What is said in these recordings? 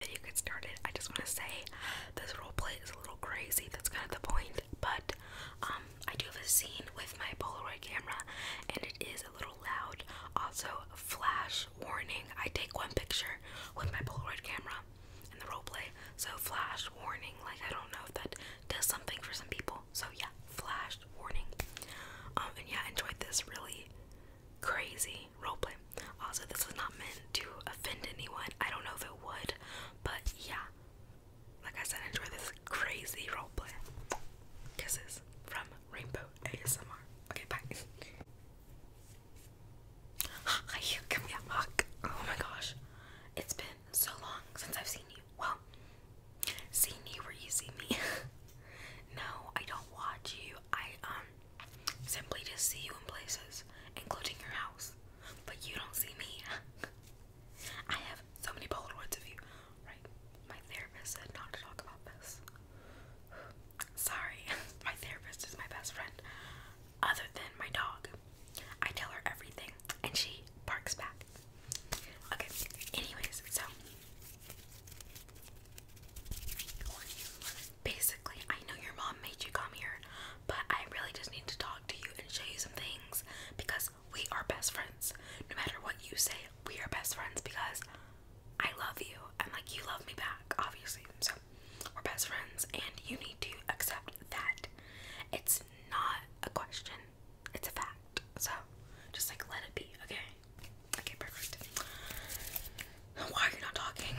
video gets started, I just want to say this roleplay is a little crazy. That's kind of the point. But um, I do have a scene with my Polaroid camera, and it is a little loud. Also, flash warning. I take one picture with my Polaroid camera in the roleplay, so flash warning. Like I don't know if that does something for some people. So yeah, flash warning. Um, and yeah, enjoyed this really crazy roleplay. Also, this was not meant to offend anyone. I don't know if it would, but yeah. Like I said, enjoy this crazy roleplay. Kisses from Rainbow ASMR. Okay, bye. Hi, give me Oh my gosh. It's been so long since I've seen you. Well, seen you where you see me. no, I don't watch you. I um simply just see you in places, including your house, but you don't see me. I have so many Polaroids of you, right? My therapist said not to talk about this. Sorry, my therapist is my best friend, other than my dog. I tell her everything, and she barks back. Okay, anyways, so Basically, I know your mom made you come here, but I really just need to talk to you and show you some things because we are best friends. No matter what you say, we are best friends because I love you and like you love me back, obviously. So we're best friends and you need to accept that. It's not a question, it's a fact. So just like let it be, okay? Okay, perfect. Why are you not talking?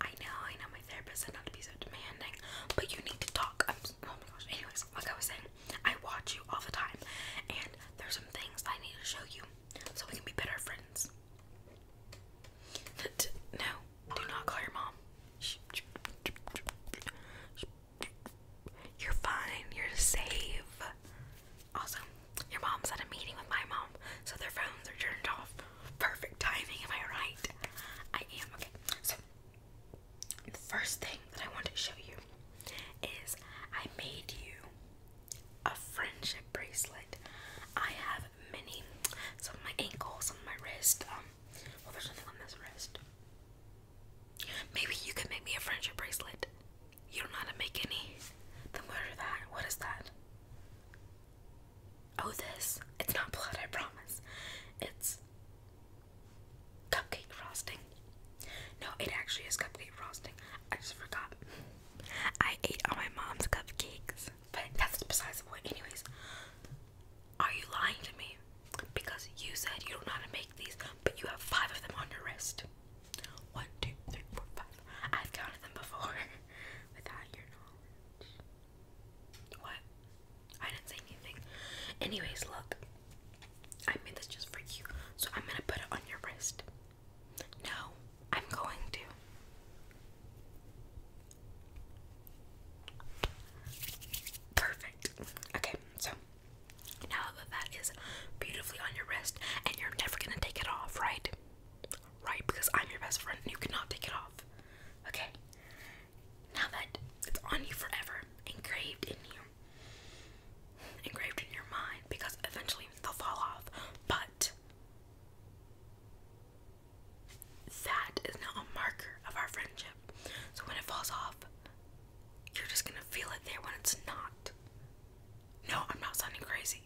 I know, I know my therapist said not to be so demanding, but you need to talk. oh my gosh. Anyways, like I was saying, I watch you all the time, and there's some things I need to show you so we can be better friends. No, do not call your mom. You're fine. You're safe. Also, your mom's at a meeting with my mom, so their phones are turned off. Perfect timing, am I right? I am. Okay, so the first thing that I want to show you is I made you a friendship bracelet. I have many, some on my ankles, some on my wrist. Um, well, there's nothing on this wrist. Maybe you could make me a friendship bracelet. You don't know how to make any. The what are that? What is that? Oh, this. It's not blood, I promise. It's cupcake frosting. No, it actually is cupcake frosting. I just forgot. I ate all my mom's cupcakes. But that's besides the point. Anyways, are you lying to me? Because you said you don't know how to make these, but you have five of them on your wrist. One, two, three, four, five. I've counted them before without your knowledge. What? I didn't say anything. Anyways, look. I made this just for you, so I'm gonna put it on your wrist. No, I'm going to. Perfect. Okay, so now that that is beautifully on your wrist, and you're never gonna take it off, right? Right, because I'm your best friend and you cannot take it off. Okay? Now that it's on you forever, engraved in you, engraved in your mind, because eventually they'll fall off. But that is now a marker of our friendship. So when it falls off, you're just gonna feel it there when it's not. No, I'm not sounding crazy.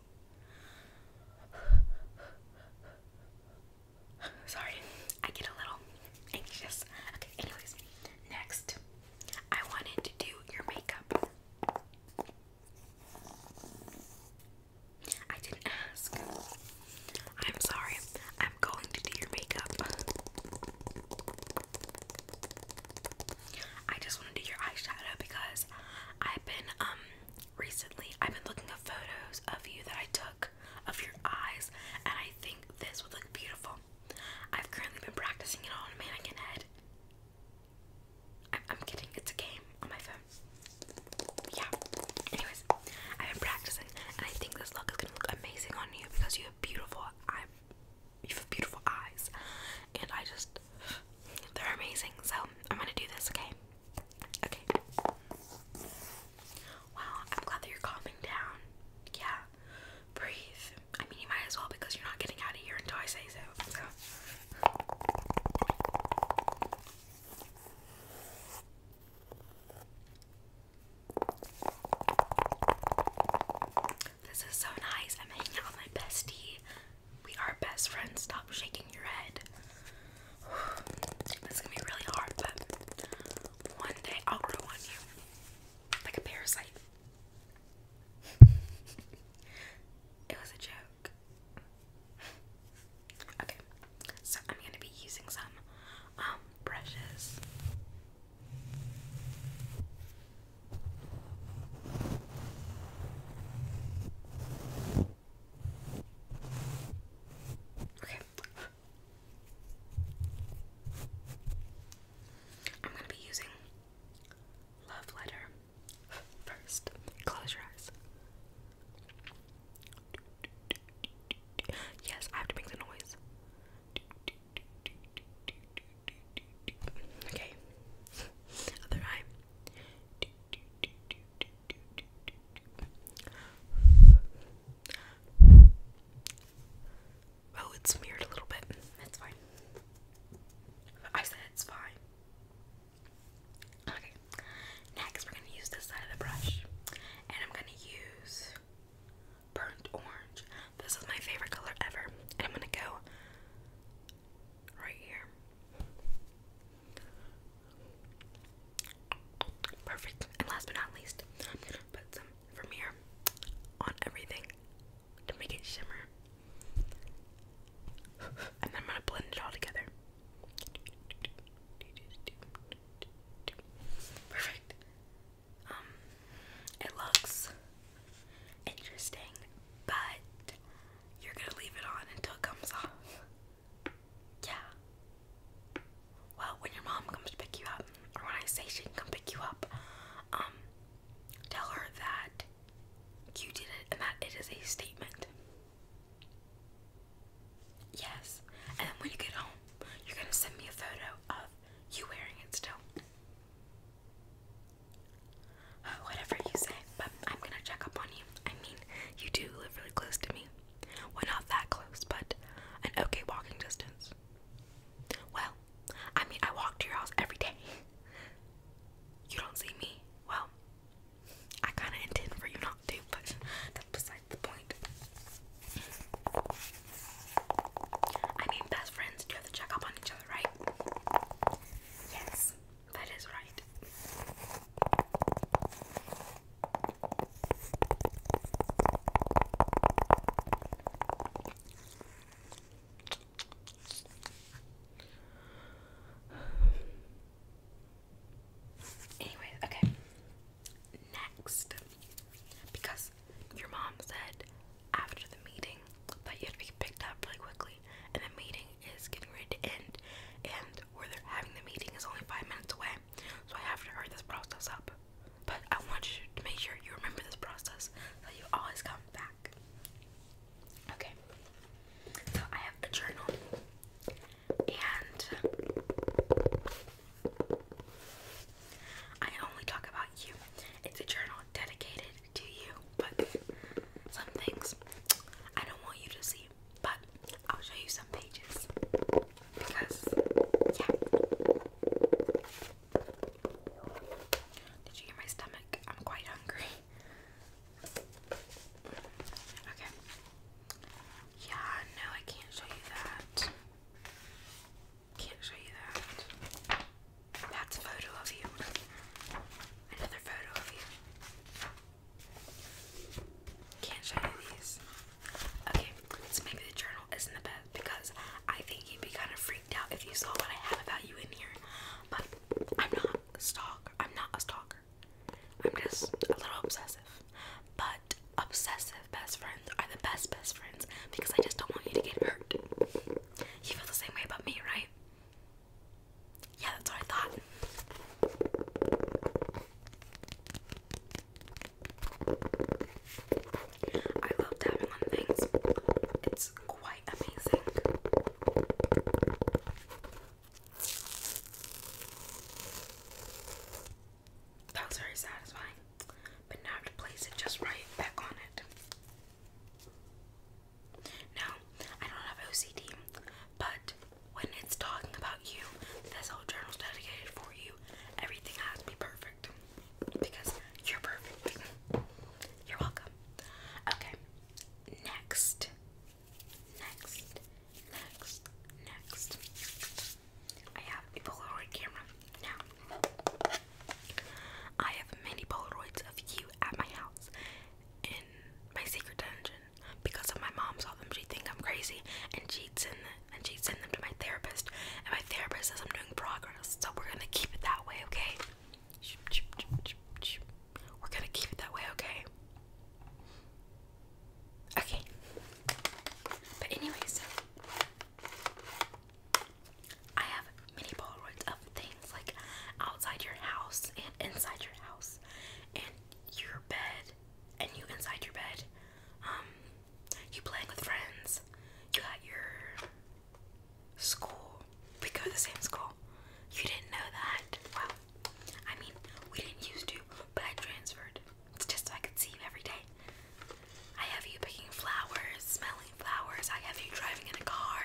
Sorry, I get a little anxious. Okay, anyways, next, I wanted to do your makeup. I didn't ask. I'm sorry. I'm going to do your makeup. I just want to do your eyeshadow because I've been um recently I've been looking at photos of you that I took of your eyes and I think this would look beautiful. I've currently been practicing it on a mannequin head. I'm, i kidding, it's a game on my phone. Yeah. Anyways, I've been practicing and I think this look is gonna look amazing on you because you have beautiful eyes you have beautiful eyes and I just they're amazing. So I'm gonna do this, okay? Okay. Wow, I'm glad that you're calming down. Yeah. Breathe. I mean you might as well because you're not getting out of here until I say so. So this is so nice. I'm hanging out with my bestie. We are best friends. Stop shaking your head. This gonna be really hard, but one day I'll grow on you. Like a parasite. it was a joke. Okay, so I'm gonna be using some um, brushes. Okay. I'm going to be using Love Letter first. Close your eyes. Yes, I have to make the noise. Okay. Other eye. Oh, it's smeared a little bit. That's fine. I said it's fine. Okay. Next, we're going to use this side of the brush. And I'm going to use burnt orange. This is my favorite color ever. And I'm gonna go right here. Perfect. And last but not least, put some Vermeer on everything to make it shimmer. And then I'm gonna blend it all together. Perfect. Um, it looks interesting, but you're gonna leave it on until it comes off. Yeah. Well, when your mom comes to pick you up, or when I say she can come pick you up, um, tell her that you did it and that it is a statement. Yes. And then when you get home, you're gonna send me a photo of you wearing it still. Uh, whatever you say, but I'm gonna check up on you. I mean, you do live really close to me. Well, not that close, but an okay walking distance. Well, I mean, I walk to your house every day. You don't see me. Well, I kind of intend for you not I mean, best friends do you have to check up on each other, right? Yes, that is right. Anyways, okay next because your mom said after the meeting that you had to be picked up really quickly and the meeting is getting ready to end and where they're having the meeting is only five minutes away so I have to hurry this process up but I want you to make sure you remember this process so you always come back okay so I have a journal and I only talk about you. It's a journal dedicated to you, but some things I don't want you to see, but I'll show you some pages because, yeah. Did you hear my stomach? I'm quite hungry. Okay. Yeah, no, I can't show you that. Can't show you that. That's a photo of you. Another photo of you. Can't show you these. Okay, so maybe the journal isn't the best because I think you'd be kind of freaked out if you saw what I have about you in here. But I'm not a I'm not a stalker. I'm just a little obsessive. But obsessive best friends are the best best friends because I just don't want you to get hurt. You feel the same way about me, right? Yeah, that's what I thought. I love tapping on things. It's quite amazing. That was very satisfying. But now I have to place it just right back on it. Now, I don't have OCD, but when it's talking about you, this whole journal's dedicated for you. Everything has to be perfect because you're perfect. You're welcome. Okay, next Next, next, next. I have a Polaroid camera now. I have many Polaroids of you at my house in my secret dungeon because if my mom saw them. She'd think I'm crazy, and she'd send them, and she'd send them to my therapist. And my therapist says I'm doing progress, so we're gonna keep it that way, okay? We're gonna keep it that way, okay? Okay. But anyway, so I have mini Polaroids of things like outside your house and inside your house and your bed and you inside your bed. Um you playing with friends. You got your school. We go to the same school. You didn't know that. Wow. I mean, we didn't used to, but I transferred. just so I could see you every day. I have you picking flowers, smelling flowers. I have you driving in a car.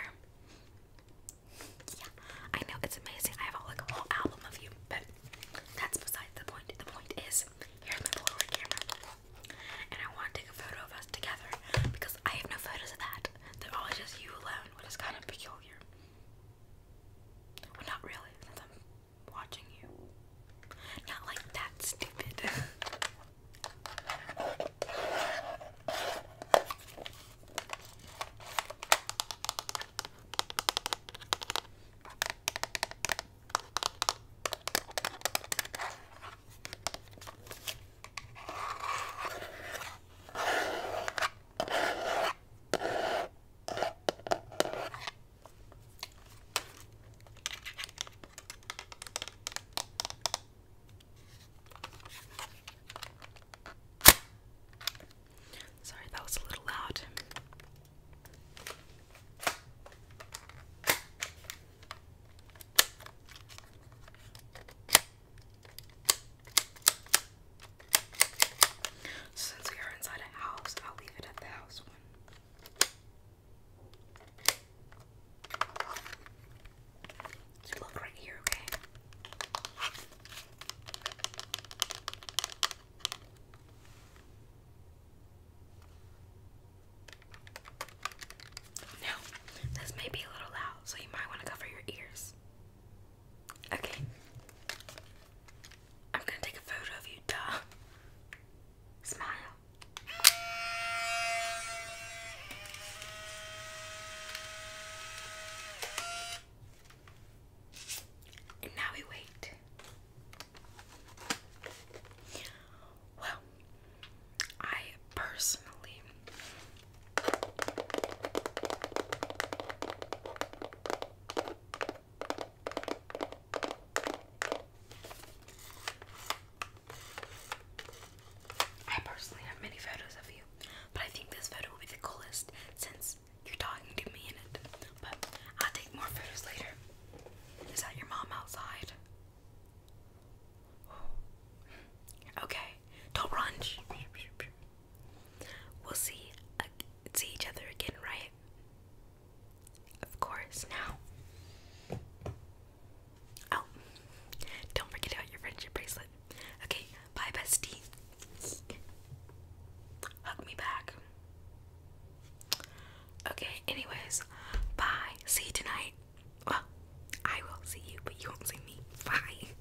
Yeah, I know it's amazing. I have like a whole album of you, but that's beside the point. The point is, here's my Polaroid camera, and I want to take a photo of us together because I have no photos of that. They're all just you alone, which is kind of peculiar. Well, not really, since I'm watching you. Not like that stupid. Sorry, that was a little loud. So since we are inside a house, I'll leave it at the house look right here, okay? Now, this may be a little loud, so you might want to cover your ears. Okay. I'm gonna take a photo of you, duh. Smile. And now we wait. Well, I personally I personally have many photos of you, but I think this photo will be the coolest since you're talking to me in it. But I'll take more photos later. Is that your mom outside? Oh. Okay, don't run. We'll see see each other again, right? Of course. Now. Oh, don't forget about your friendship bracelet. Okay, bye, bestie. Hug me back. Okay, anyways, bye. See you tonight. Well, oh, I will see you, but you won't see me. Bye.